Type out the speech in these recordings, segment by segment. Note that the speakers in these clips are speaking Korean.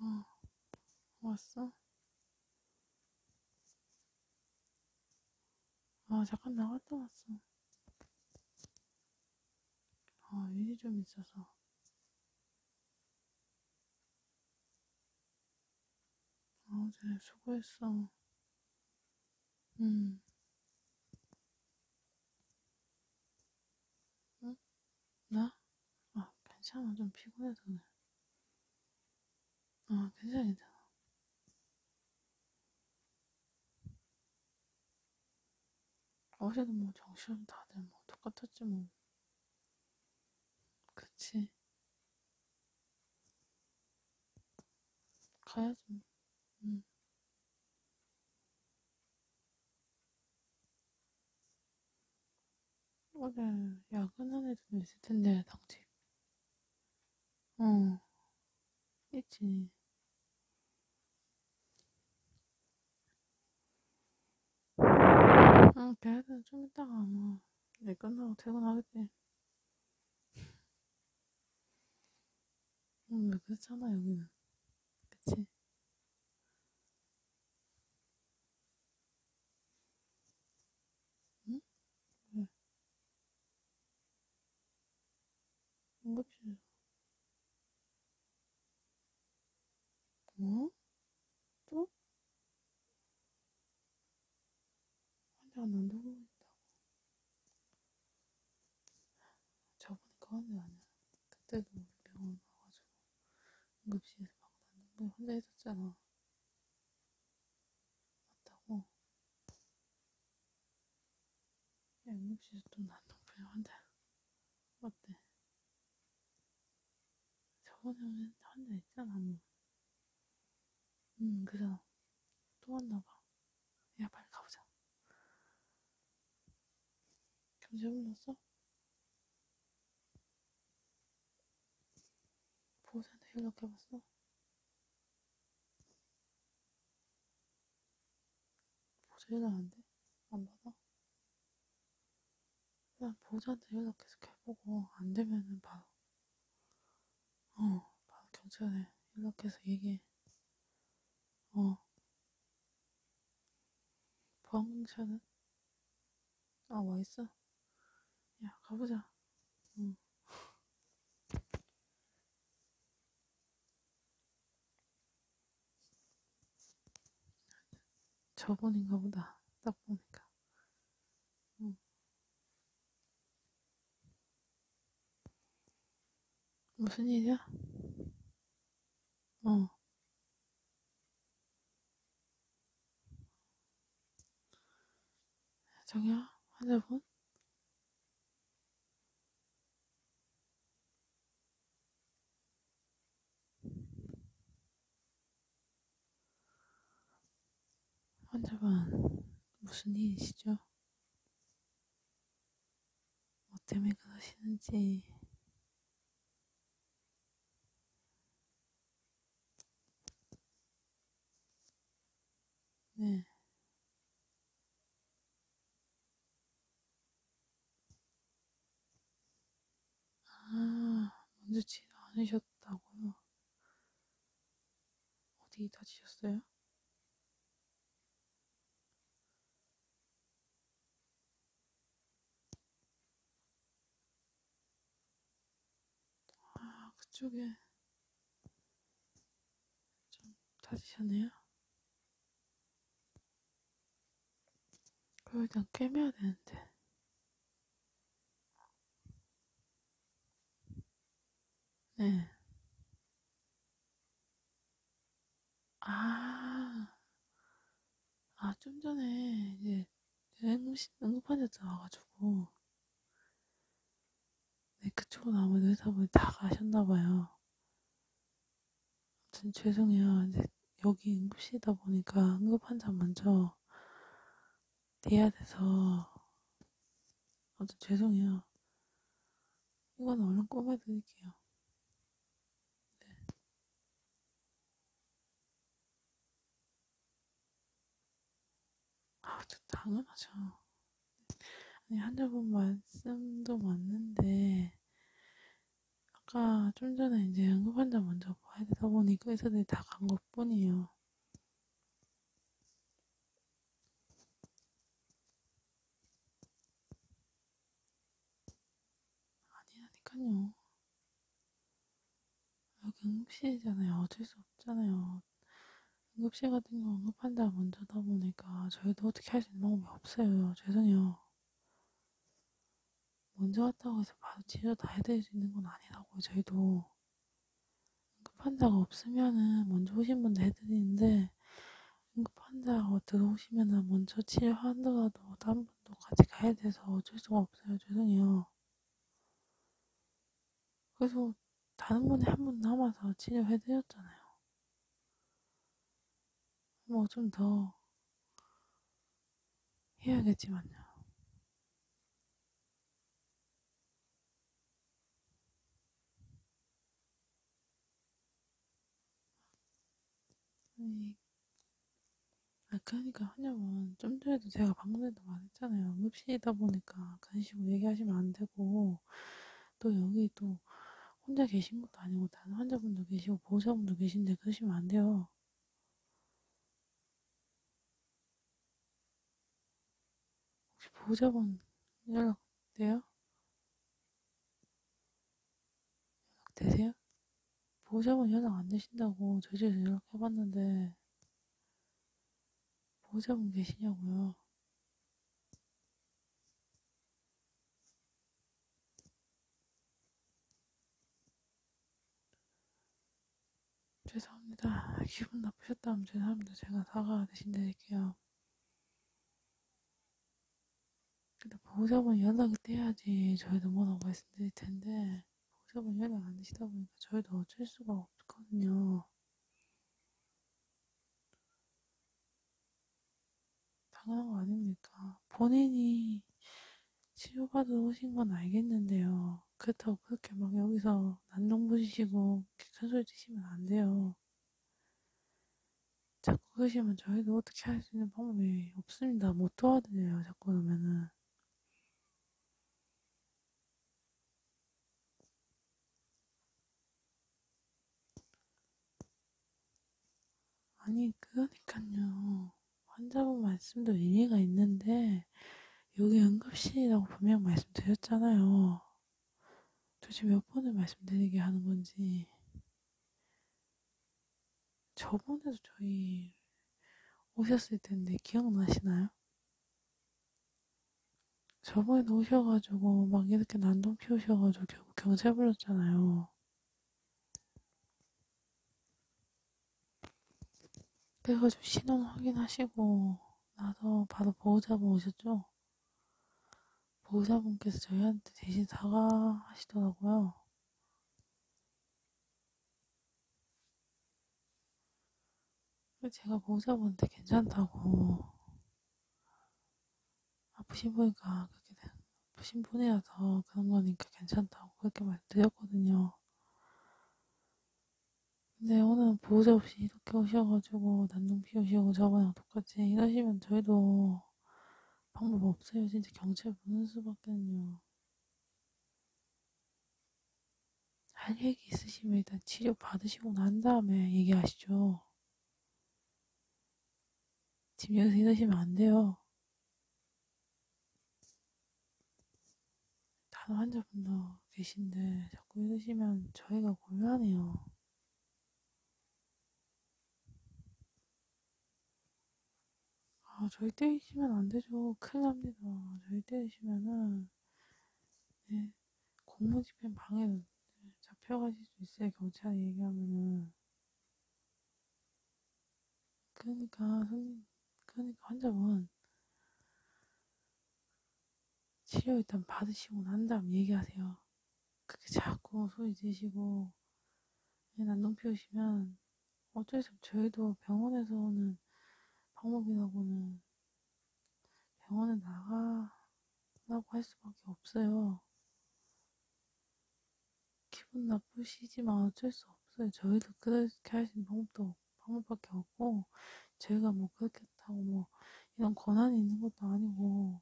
어, 왔어? 아, 잠깐 나갔다 왔어. 아, 일이 좀 있어서. 어제 아, 수고했어. 응. 음. 응? 나? 아, 괜찮아. 좀 피곤해서 그래. 아, 괜찮아, 괜찮아. 어제도 뭐 정신없이 다들 뭐 똑같았지 뭐. 그치? 가야지. 응. 음. 어제 야근한 애들도 있을 텐데, 당직. 어, 있지. 응, 걔네들은 좀 이따가 아마 뭐, 일 끝나고 퇴근하겠지. 응, 음, 그렇잖아, 여기는. 그치? 응? 왜? 뭔가 필요 어? 또? 환자가 난 누구 있다고. 저번에 그건데 아니야. 그때도 우리 병원 와가지고 응급실에서 막 난동병 혼자 있었잖아. 맞다고. 야, 응급실에서 또 난동병 환자. 맞대. 저번에 혼자 있잖아, 뭐. 응, 음, 그잖아. 또 왔나봐. 야, 빨리 가보자. 경제문 났어? 보호자한테 연락해봤어? 보호자 연락 안 돼? 안 받아? 난 보호자한테 연락 계속 해보고, 안 되면은 바로 어, 바로 경찰에 연락해서 얘기해. 어. 보안공차는? 아, 와있어? 야, 가보자. 응. 저번인가 보다. 딱 보니까. 응. 무슨 일이야? 어. 정야 환자분? 환자분 무슨 일이시죠? 뭐 때문에 그러시는지 네. 아, 먼저 치료 안 하셨다고요? 어디 다치셨어요? 아, 그쪽에 좀 다치셨네요. 그걸 일단 깨매야 되는데. 네. 아, 아, 좀 전에 이제 응급실, 응급환자 들어와가지고, 네, 그쪽은 아무래도 회사분이 다 가셨나봐요. 아무튼 죄송해요. 이제 여기 응급실이다 보니까 응급환자 먼저 돼야 돼서 아무튼 죄송해요. 이건 얼른 꼽아드릴게요. 네. 아, 당연하죠. 아니, 환자분 말씀도 맞는데, 아까 좀 전에 이제 응급환자 먼저 봐야 되다 보니 의사들이 다 간 것 뿐이에요. 아니라니까요. 여기 응급실이잖아요. 어쩔 수 없잖아요. 응급실 같은 경우 응급환자 먼저다 보니까 저희도 어떻게 할 수 있는 방법이 없어요. 죄송해요. 먼저 왔다고 해서 바로 치료 다 해드릴 수 있는 건 아니라고 저희도 응급 환자가 없으면은 먼저 오신 분들 해드리는데 응급 환자가 들어오시면은 먼저 치료하더라도 다른 분도 같이 가야 돼서 어쩔 수가 없어요. 죄송해요. 그래서 다른 분이 한 분 남아서 치료해드렸잖아요. 뭐 좀 더 해야겠지만요. 아니, 아, 그러니까 한여원 좀 전에도 제가 방금에도 말했잖아요. 응급실이다 보니까 간식으로 얘기하시면 안 되고, 또 여기 또 혼자 계신 것도 아니고 다른 환자분도 계시고 보호자분도 계신데 그러시면 안 돼요. 혹시 보호자분 연락 돼요? 연락 되세요? 보호자분 연락 안 되신다고 저희 집에서 연락해봤는데 보호자분 계시냐고요? 죄송합니다. 기분 나쁘셨다면 죄송합니다. 제가 사과 대신 드릴게요. 얘기야. 근데 보호자분 연락이 돼야지 저희도 뭐라고 말씀드릴 텐데 보호자분 연락 안 되시다 보니까 저희도 어쩔 수가 없거든요. 당연한 거 아닙니까? 본인이 치료받으러 오신 건 알겠는데요. 그렇다고 그렇게 막 여기서 난동 부리시고 객한 소리 드시면 안 돼요. 자꾸 그러시면 저희도 어떻게 할 수 있는 방법이 없습니다. 못 도와드려요. 자꾸 그러면은. 아니, 그러니까요. 환자분 말씀도 일리가 있는데, 여기 응급실이라고 분명 말씀드렸잖아요. 도대체 몇 번을 말씀드리게 하는 건지. 저번에도 저희 오셨을 텐데 기억나시나요? 저번에도 오셔가지고 막 이렇게 난동 피우셔가지고 결국 경찰 불렀잖아요. 그래가지고 신원 확인하시고 나서 바로 보호자분 오셨죠? 보호자분께서 저희한테 대신 사과하시더라고요. 제가 보호자분한테 괜찮다고 아프신 분이니까 그렇게 아프신 분이라서 그런 거니까 괜찮다고 그렇게 말드렸거든요. 근데 네, 오늘 보호자 없이 이렇게 오셔가지고 난동 피우시고 저번이랑 똑같이 이러시면 저희도 방법 없어요. 진짜 경찰 보는 수밖에는요. 할 얘기 있으시면 일단 치료 받으시고 난 다음에 얘기하시죠. 지금 여기서 이러시면 안 돼요. 간호 환자분도 계신데 자꾸 이러시면 저희가 곤란해요. 아, 저희 때리시면 안 되죠. 큰일 납니다. 저희 때리시면은, 네, 공무집행 방해 잡혀가실 수 있어요. 경찰이 얘기하면은. 그러니까, 손님, 그러니까 환자분. 치료 일단 받으시고 난 다음 얘기하세요. 그렇게 자꾸 소리 지시고 예, 난동 피우시면 어쩔 수 없, 저희도 병원에서 오는 방법이라고는 병원에 나가라고 할 수밖에 없어요. 기분 나쁘시지만 어쩔 수 없어요. 저희도 그렇게 할 수 있는 방법도 방법밖에 없고 제가 뭐 그렇겠다고 뭐 이런 권한이 있는 것도 아니고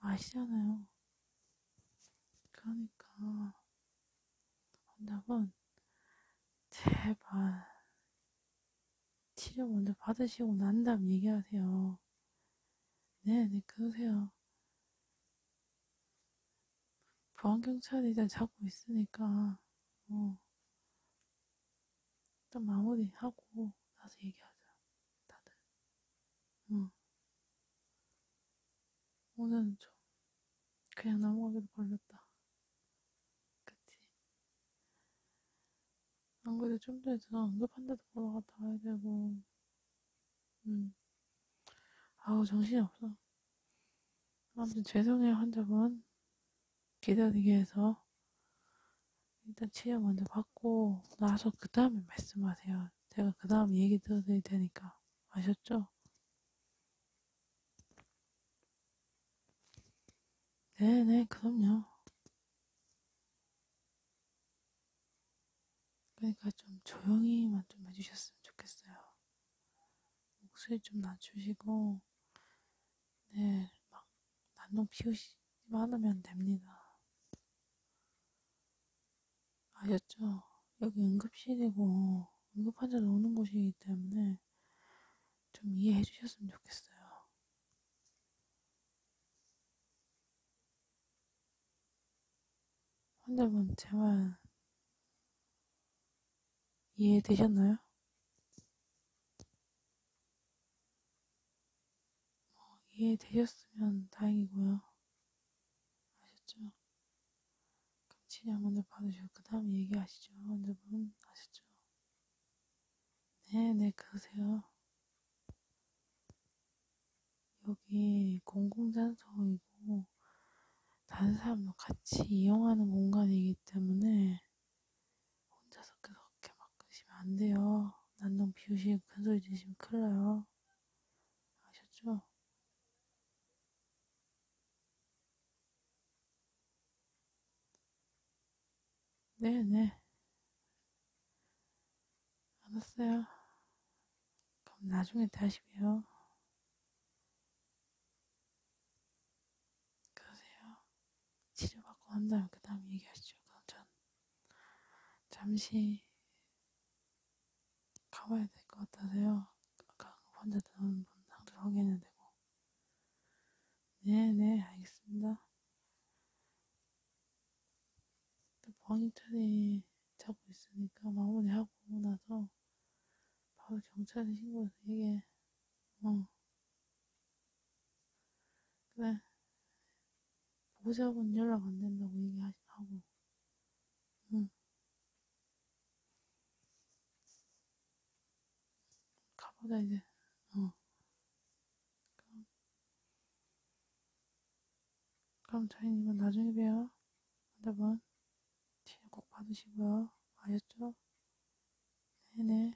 아시잖아요. 그러니까 환자분 제발 치료 먼저 받으시고 난 다음 얘기하세요. 네, 네 그러세요. 보안경찰이 일단 잡고 있으니까 어. 일단 마무리하고 나서 얘기하자. 다들. 응. 오늘은 좀 그냥 넘어가기도 걸렸다. 그치? 안 그래도 좀 전에 누나 응급한 데도 보러 갔다 와야 되고. 응. 아우, 정신이 없어. 아무튼 죄송해요, 환자분. 기다리기에서 일단 치료 먼저 받고 나서 그 다음에 말씀하세요. 제가 그 다음 얘기 들어드릴 테니까 아셨죠? 네네 그럼요. 그러니까 좀 조용히만 좀 해주셨으면 좋겠어요. 목소리 좀 낮추시고 네, 막 난동 피우시기만 하면 됩니다. 아셨죠? 여기 응급실이고 응급환자를 오는 곳이기 때문에 좀 이해해 주셨으면 좋겠어요. 환자분 제발 이해되셨나요? 뭐 이해되셨으면 다행이고요. 아셨죠? 그럼 치약 먼저 받으시고 그 다음 얘기하시죠. 여러분 아셨죠? 네네 네, 그러세요. 여기 공공장소이고 다른 사람도 같이 이용하는 공간이기 때문에 혼자서 그렇게 막 그러시면 안 돼요. 난동 비우시고 큰 소리 지르시면 큰일 나요. 아셨죠? 네네. 네. 알았어요. 그럼 나중에 다시 봬요. 그러세요. 치료받고 한 다음에 그 다음 얘기하시죠. 그럼 전 잠시 가봐야 될 것 같아서요. 아까 혼자 들어온 분 상대로 확인해야 되고. 네네 네, 알겠습니다. 방위철이 자고 있으니까 마무리하고 나서 바로 경찰에 신고해서 이게 어 그래 보자고 연락 안 된다고 얘기하고 응 가보자 이제 어 그럼 그럼 자인님은 나중에 봬요 여러분 치료 꼭 받으시고요 아셨죠? 네네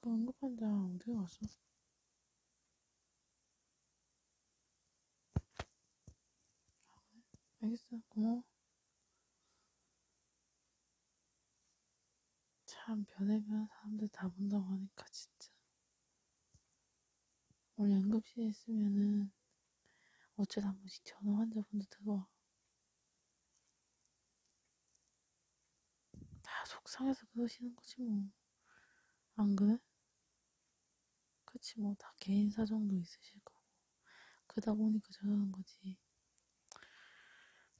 그 응급환자 어디 갔어? 알겠어 고마워 참 별의별 사람들 다 본다고 하니까 진짜 오늘 응급실에 있으면은 어쩌다 한 번씩 전화 환자분도 들어와 다 속상해서 그러시는 거지 뭐 안 그래? 그치 뭐 다 개인 사정도 있으실 거고 그러다 보니까 저러는 거지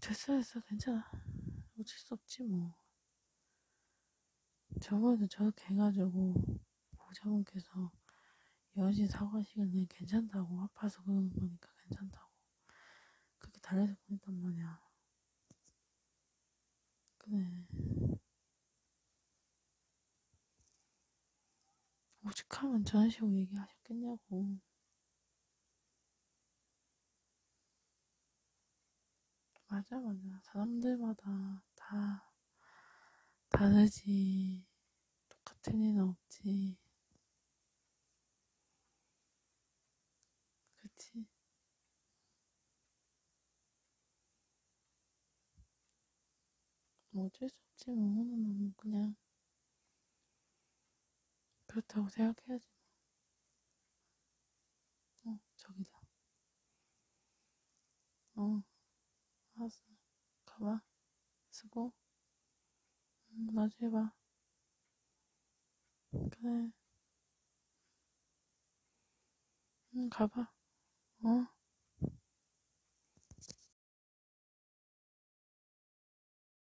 됐어 됐어 괜찮아 어쩔 수 없지 뭐 저번에 저렇게 해가지고 보호자분께서 여신 사과하시길래 괜찮다고 아파서 그러는 거니까 괜찮다고 그렇게 달래서 보냈단 말이야 그래 오직하면 저런 식으로 얘기하셨겠냐고 맞아, 맞아. 사람들마다 다 다르지. 똑같은 일은 없지. 그치? 뭐 어쩔 수 없지, 뭐. 너무 그냥 그렇다고 생각해야지. 뭐. 어, 저기다. 어, 알았어. 가봐. 수고. 응, 음, 나중에 봐. 그래. 응, 음, 가봐. 어?